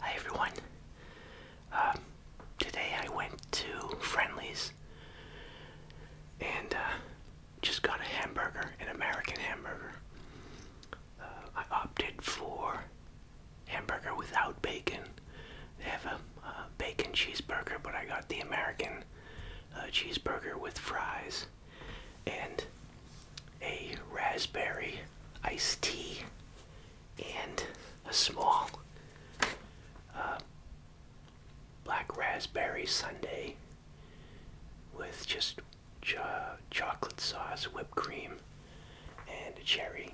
Hi everyone. Um, today I went to Friendly's and uh, just got a hamburger, an American hamburger. Uh, I opted for hamburger without bacon. They have a uh, bacon cheeseburger, but I got the American cheeseburger with fries and a raspberry iced tea and a small uh, black raspberry sundae with just chocolate sauce, whipped cream, and a cherry.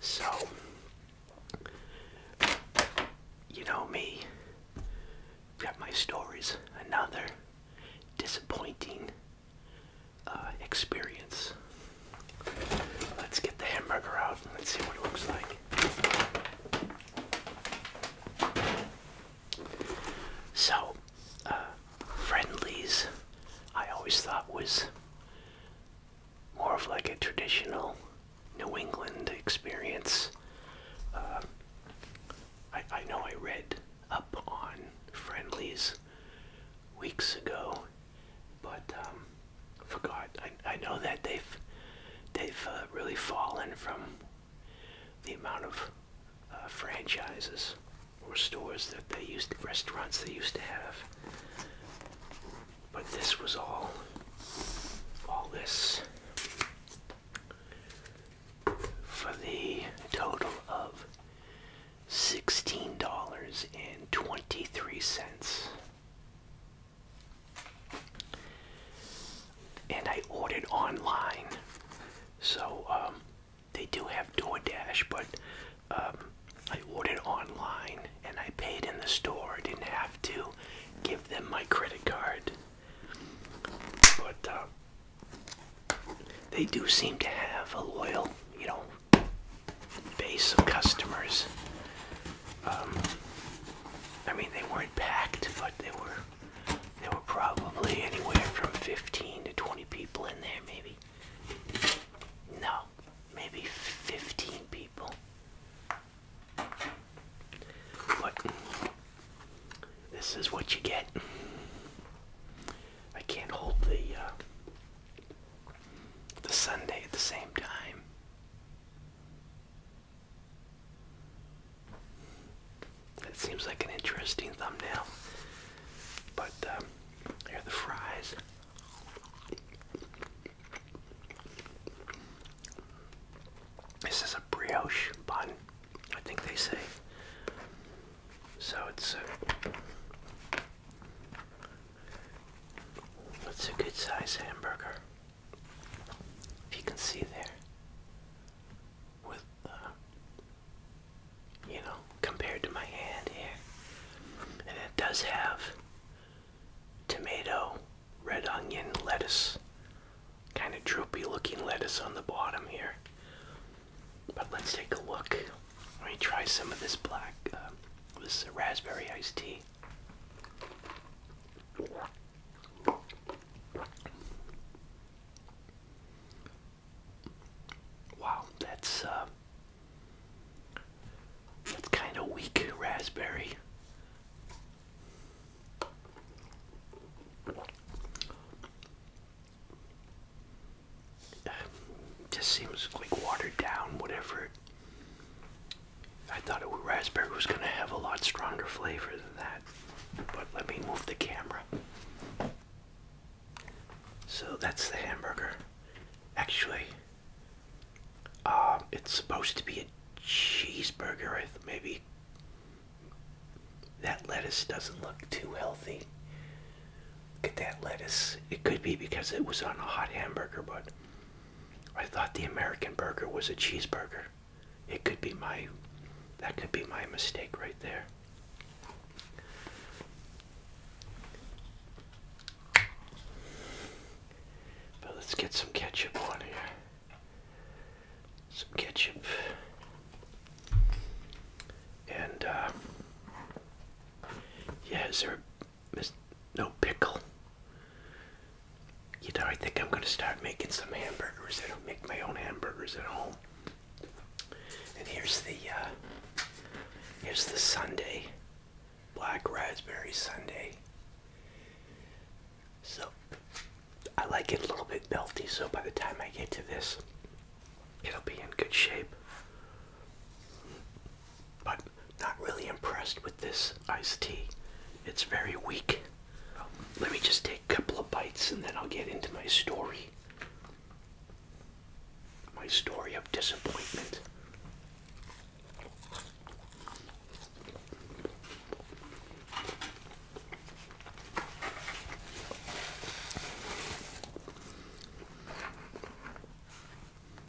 So, you know me, got my stories, another disappointing uh, experience. Let's get the hamburger out and let's see what it looks like. So, uh, Friendlies, I always thought was more of like a traditional New England experience. Uh, I, I know I read up on friendlies weeks ago, but um, forgot. I, I know that they've they've uh, really fallen from the amount of uh, franchises or stores that they used to, restaurants they used to have. But this was all all this for the total of $16.23. And I ordered online. So um, they do have DoorDash, but um, I ordered online and I paid in the store. didn't have to give them my credit card. But um, they do seem to have a loyal, you know, base of customers. Um, I mean, they weren't packed, but they were. There were probably anywhere from 15 to 20 people in there, maybe. No, maybe 15 people. But this is what you get. I can't hold the uh, the Sunday at the same time. That seems like an interesting thumbnail. But um, here are the fries. This is a brioche bun. I think they say. So it's uh, a, it's a good size hamburger. If you can see there, with uh, you know, compared to my hand here, and it does have tomato, red onion, lettuce, kind of droopy looking lettuce on the bottom here. But let's take a look. Let me try some of this black, uh, this raspberry iced tea. Wow, that's uh, that's kind of weak raspberry. Just seems like watered down, whatever. I thought it would, raspberry was going to have a lot stronger flavor than that. But let me move the camera. So that's the hamburger. Actually, uh, it's supposed to be a cheeseburger, maybe that lettuce doesn't look too healthy. Look at that lettuce. It could be because it was on a hot hamburger, but I thought the American burger was a cheeseburger. It could be my, that could be my mistake right there. But let's get some ketchup on here some ketchup, and uh, yeah, is no pickle? You know, I think I'm gonna start making some hamburgers. I don't make my own hamburgers at home. And here's the uh, here's the Sunday, black raspberry Sunday. So I like it a little bit melty, so by the time I get to this, it'll be in good shape. But not really impressed with this iced tea. It's very weak. Let me just take a couple of bites and then I'll get into my story. My story of disappointment.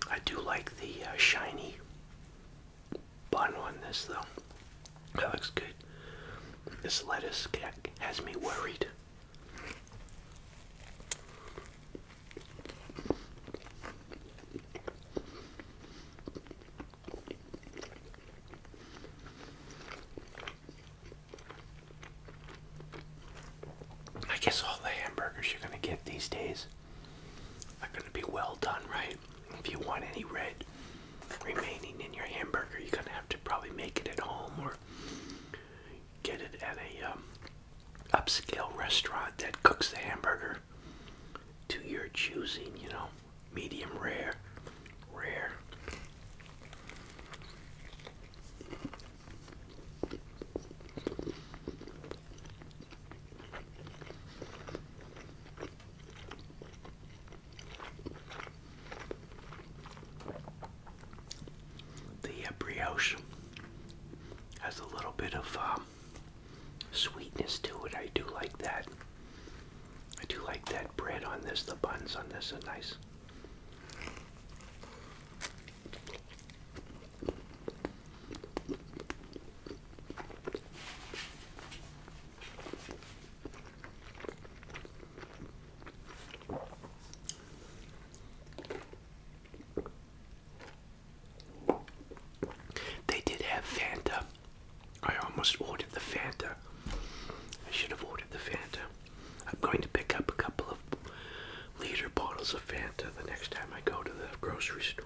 I do like the uh, shiny bun on this though. That looks good. This lettuce has me worried. I guess all the hamburgers you're going to get these days are going to be well done, right? If you want any red remaining in your hamburger, you're going to have to probably make it at home or get it at a um, upscale restaurant that cooks the hamburger to your choosing, you know, medium rare, rare. The brioche has a little bit of um, sweetness to it. I do like that. I do like that bread on this. The buns on this are nice. They did have Fanta. I almost ordered the Fanta. I should have ordered the Fanta. I'm going to pick up a couple of liter bottles of Fanta the next time I go to the grocery store.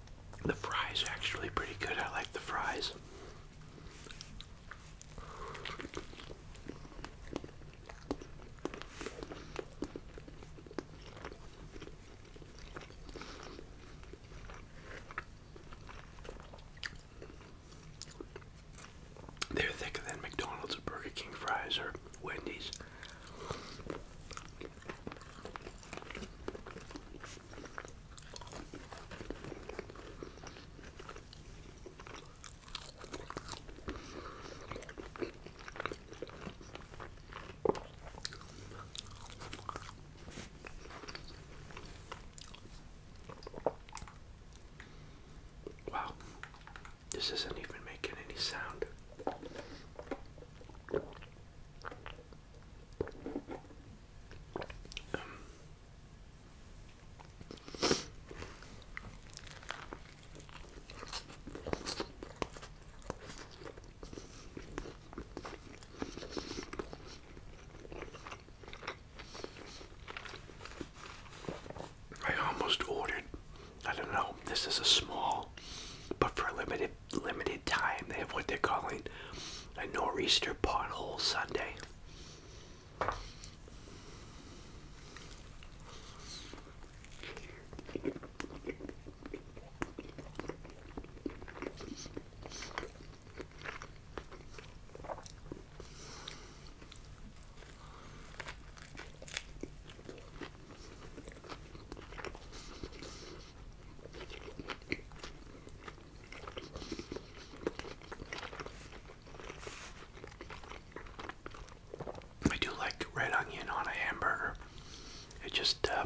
The fries are actually pretty good. I like the fries. They're thicker than McDonald's or Burger King fries or Wendy's. Wow, this isn't even making any sound. I almost ordered, I don't know, this is a small, but for a limited limited time. They have what they're calling a nor'easter pothole Sunday. I do like red onion on a hamburger. It just uh,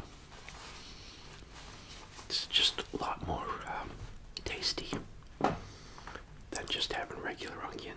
it's just a lot more um, tasty than just having regular onion.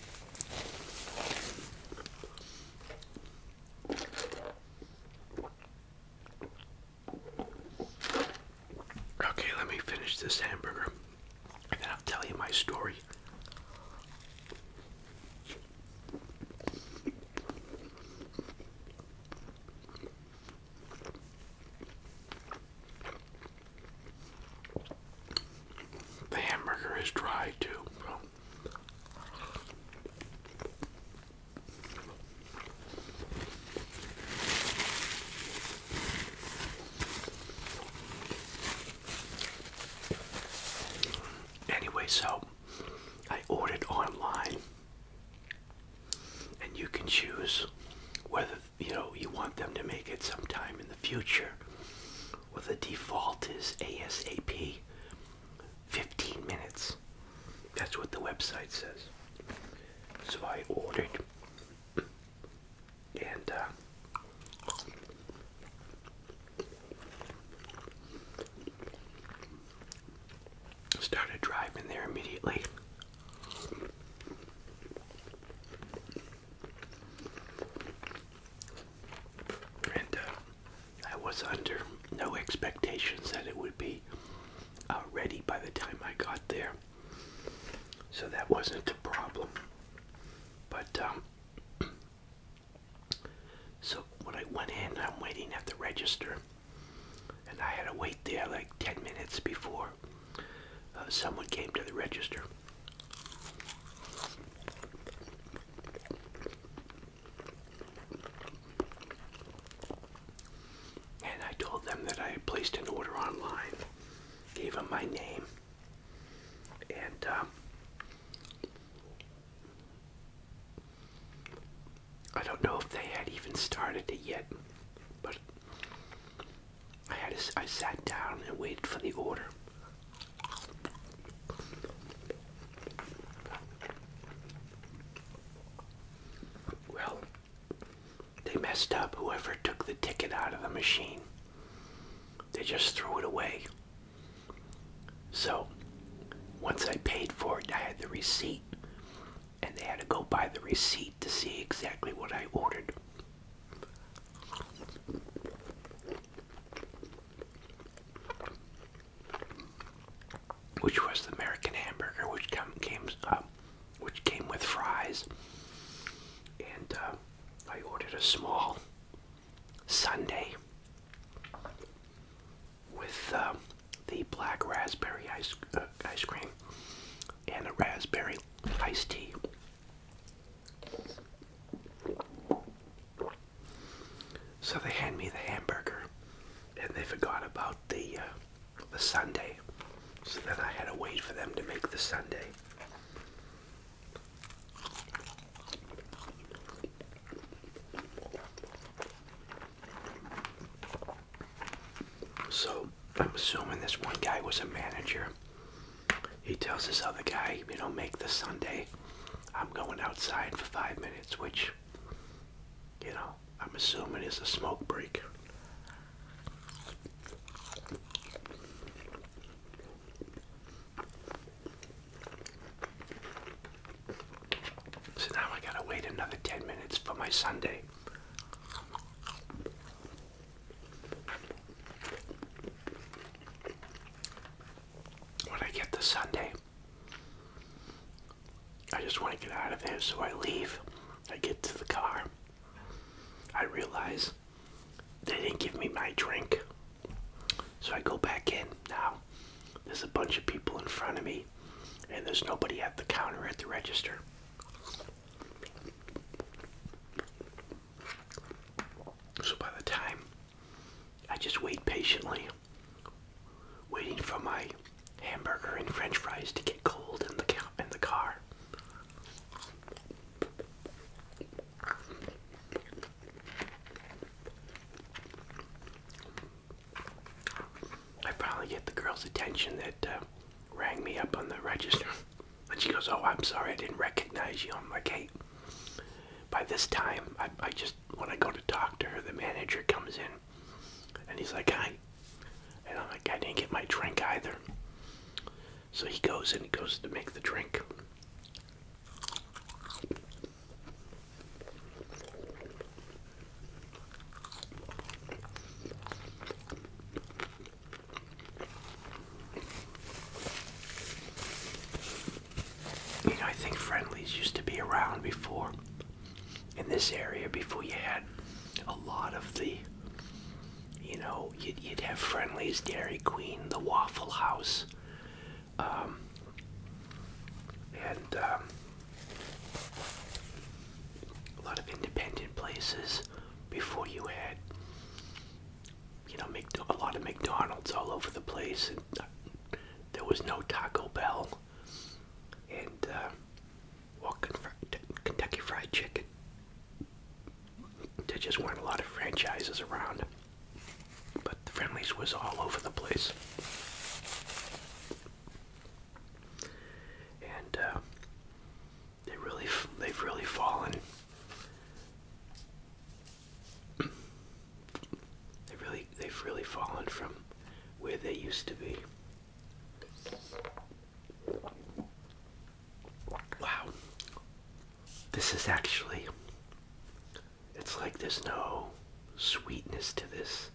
Okay, let me finish this hamburger and then I'll tell you my story. The hamburger is dry too. So. Anyway, so I ordered online, and you can choose whether you know you want them to make it sometime in the future. Well, the default is ASAP. 15 minutes. That's what the website says. So I ordered, and uh, started driving there immediately. And uh, I was under no expectations that it would be uh, ready by the time I got there. So that wasn't a problem. But, um, so when I went in, I'm waiting at the register. And I had to wait there like 10 minutes before uh, someone came to the register. And I told them that I had placed an order online, gave them my name, and um, I don't know if they had even started it yet, but I had a, I sat down and waited for the order. Well, they messed up whoever took the ticket out of the machine. They just threw it away. So, once I paid for it, I had the receipt, and they had to go by the receipt to see exactly what I ordered which was the American hamburger, which came uh, which came with fries, and uh, I ordered a small sundae with uh, the black raspberry ice uh, ice cream, and a raspberry iced tea. So they hand me the hamburger, and they forgot about the uh, the sundae. So then I had to wait for them to make the sundae. So I'm assuming this one guy was a manager. He tells this other guy, you know, make the Sunday. I'm going outside for five minutes, which, you know, I'm assuming is a smoke break. So now I gotta wait another 10 minutes for my Sunday. When I get the Sunday, I just want to get out of there, so I leave. I get to the car. I realize they didn't give me my drink. So I go back in. Now, there's a bunch of people in front of me, and there's nobody at the counter at the register. So by the time I just wait patiently, waiting for my hamburger and french fries to get cold in the car. I finally get the girl's attention that uh, rang me up on the register and she goes, Oh, I'm sorry, I didn't recognize you. I'm like, Hey, by this time, I, I just, want to go to talk to her, the manager comes in and he's like, Hi. And I'm like, I didn't get my drink either. So he goes and he goes to make the drink. You know, I think friendlies used to be around before in this area before you had a lot of the you know you'd, you'd have friendlies dairy queen the waffle house um, and um, a lot of independent places before you had you know a lot of McDonald's all over the place and uh, there was no Taco Bell and uh, Kentucky Fried Chicken there just weren't a lot of franchises around but the Friendlies was all over the place and uh, they really, they've really fallen. They really, they've really fallen from where they used to be. Wow, this is actually. It's like there's no sweetness to this.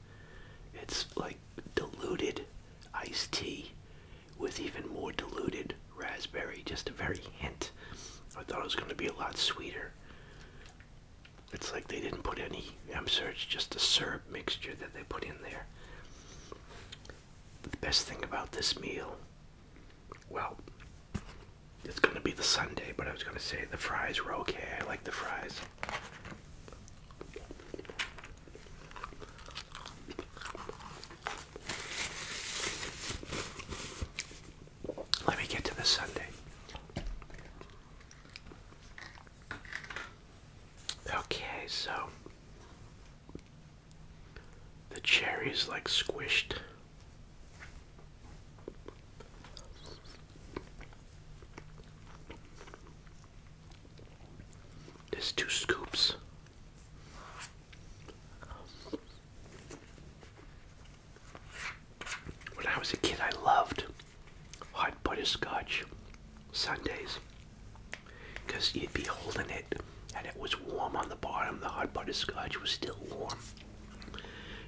It's like diluted iced tea with even more diluted raspberry, just a very hint. I thought it was going to be a lot sweeter. It's like they didn't put any I'm sure it's just a syrup mixture that they put in there. the best thing about this meal, well, it's going to be the Sunday, but I was going to say the fries were okay. I like the fries. Let me get to the Sunday. Okay, so the cherry is like squished. There's two scoops. When I was a kid, I loved hot butterscotch sundaes because you'd be holding it and it was warm on the bottom. The hot butterscotch was still warm.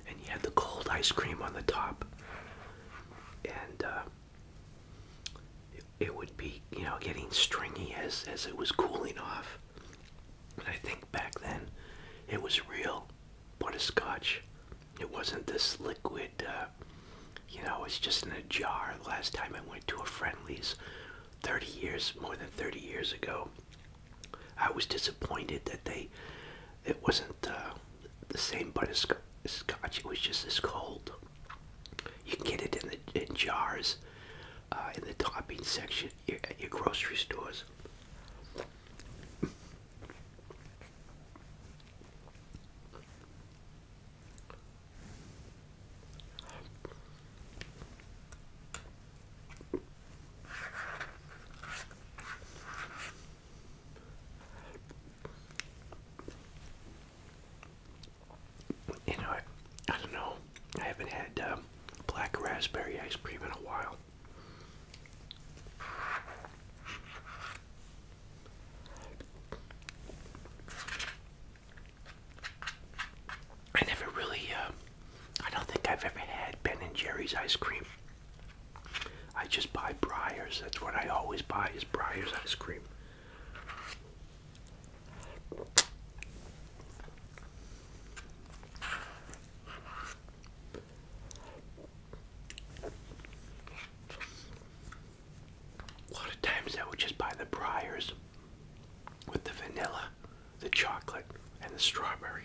And you had the cold ice cream on the top. And uh, it, would be, you know, getting stringy as as it was cooling off. And I think back then, it was real butterscotch. It wasn't this liquid. Uh, you know, it's just in a jar. last time I went to a friendlies, 30 years, more than 30 years ago, I was disappointed that they, it wasn't. Uh, the same butterscotch. It was just as cold. You can get it in jars, uh, in the topping section at your grocery stores. You know, I, don't know. I haven't had um, black raspberry ice cream in a while. I never really, um, I don't think I've ever had Ben and Jerry's ice cream. I just buy Briars. That's what I always buy is Briars ice cream. A lot of times I would just buy the Briars with the vanilla, the chocolate, and the strawberry.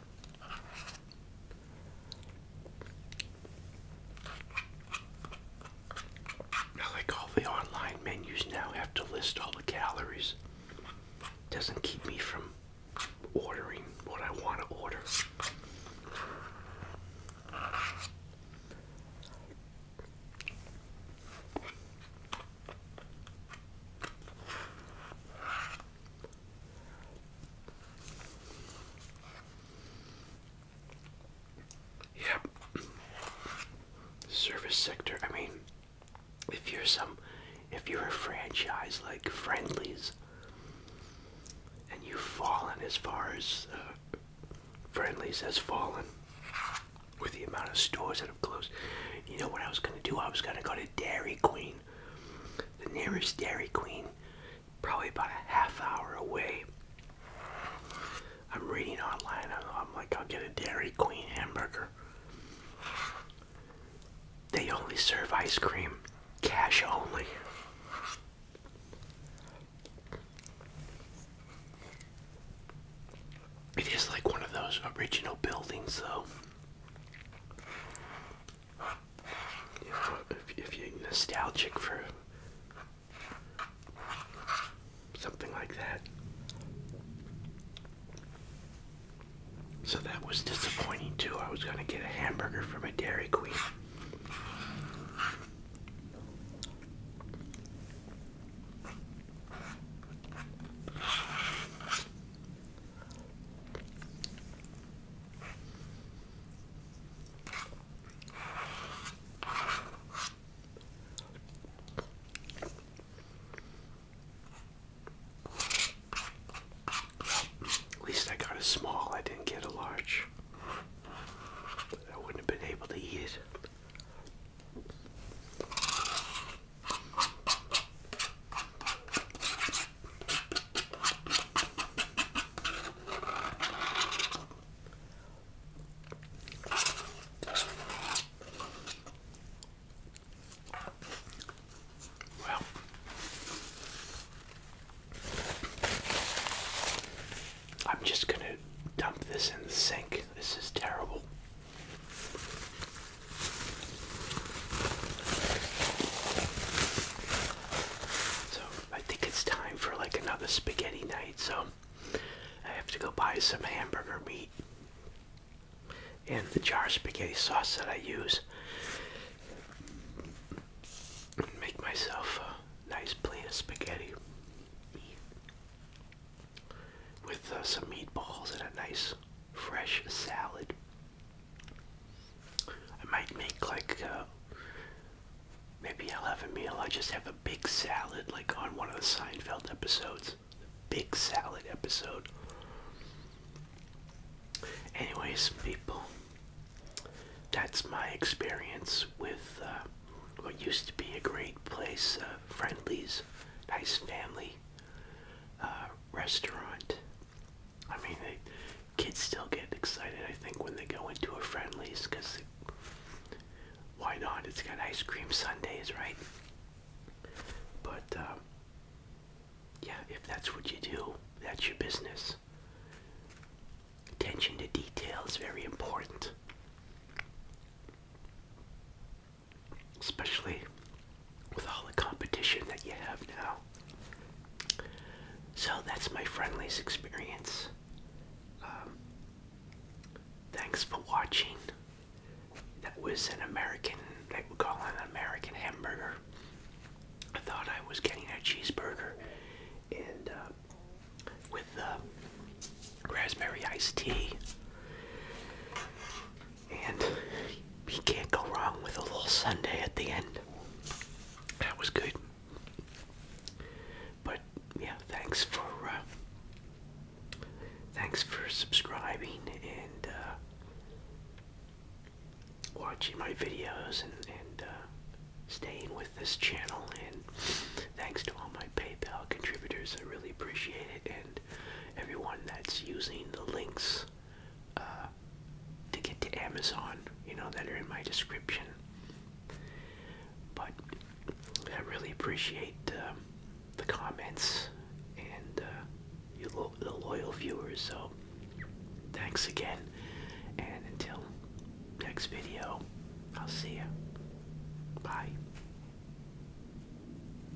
I like all the online menus now have to list all the calories. Doesn't keep me from ordering what I want to order. Yep. Service sector. I mean, if you're some, if you're a franchise like Friendlies, and you've fallen as far as uh, Friendlies has fallen with the amount of stores that have closed, you know what I was gonna do? I was gonna go to Dairy Queen. The nearest Dairy Queen, probably about a half hour away. I'm reading online, I'm like, I'll get a Dairy Queen hamburger. They only serve ice cream, cash only. It is like one of those original buildings, though. If, if, if you're nostalgic for something like that. So that was disappointing too. I was going to get a hamburger from a Dairy Queen. At least I got a small, I didn't get a large. I wouldn't have been able to eat it. Well, I'm just going to dump this in the sink. This is terrible. So I think it's time for like another spaghetti night. So I have to go buy some hamburger meat. And the jar of spaghetti sauce that I use. and Make myself a nice plate of spaghetti with uh, some meatballs and a nice fresh salad. I might make like uh, maybe I'll have a meal. I just have a big salad, like on one of the Seinfeld episodes. The big salad episode. Anyways, people, that's my experience with uh, what used to be a great place, uh, Friendly's, nice family, uh, restaurant. I mean, the kids still get excited, I think, when they go into a Friendlies, because why not? It's got ice cream sundaes, right? But, um, yeah, if that's what you do, that's your business. Attention to detail is very important especially with all the competition that you have now. So that's my friendliest experience. Um, thanks for watching. That was an American, they would call it an American hamburger. I thought I was getting a cheeseburger and uh, with uh, raspberry iced tea. And you can't go wrong with a little Sunday at the end. That was good. But yeah, thanks for uh, thanks for subscribing and uh, watching my videos and uh, staying with this channel. And thanks to all my PayPal contributors, I really appreciate it. And everyone that's using the links uh, to get to Amazon, you know, that are in my description. But I really appreciate um, the comments and uh, you the loyal viewers. So thanks again, and until next video, I'll see you. Bye.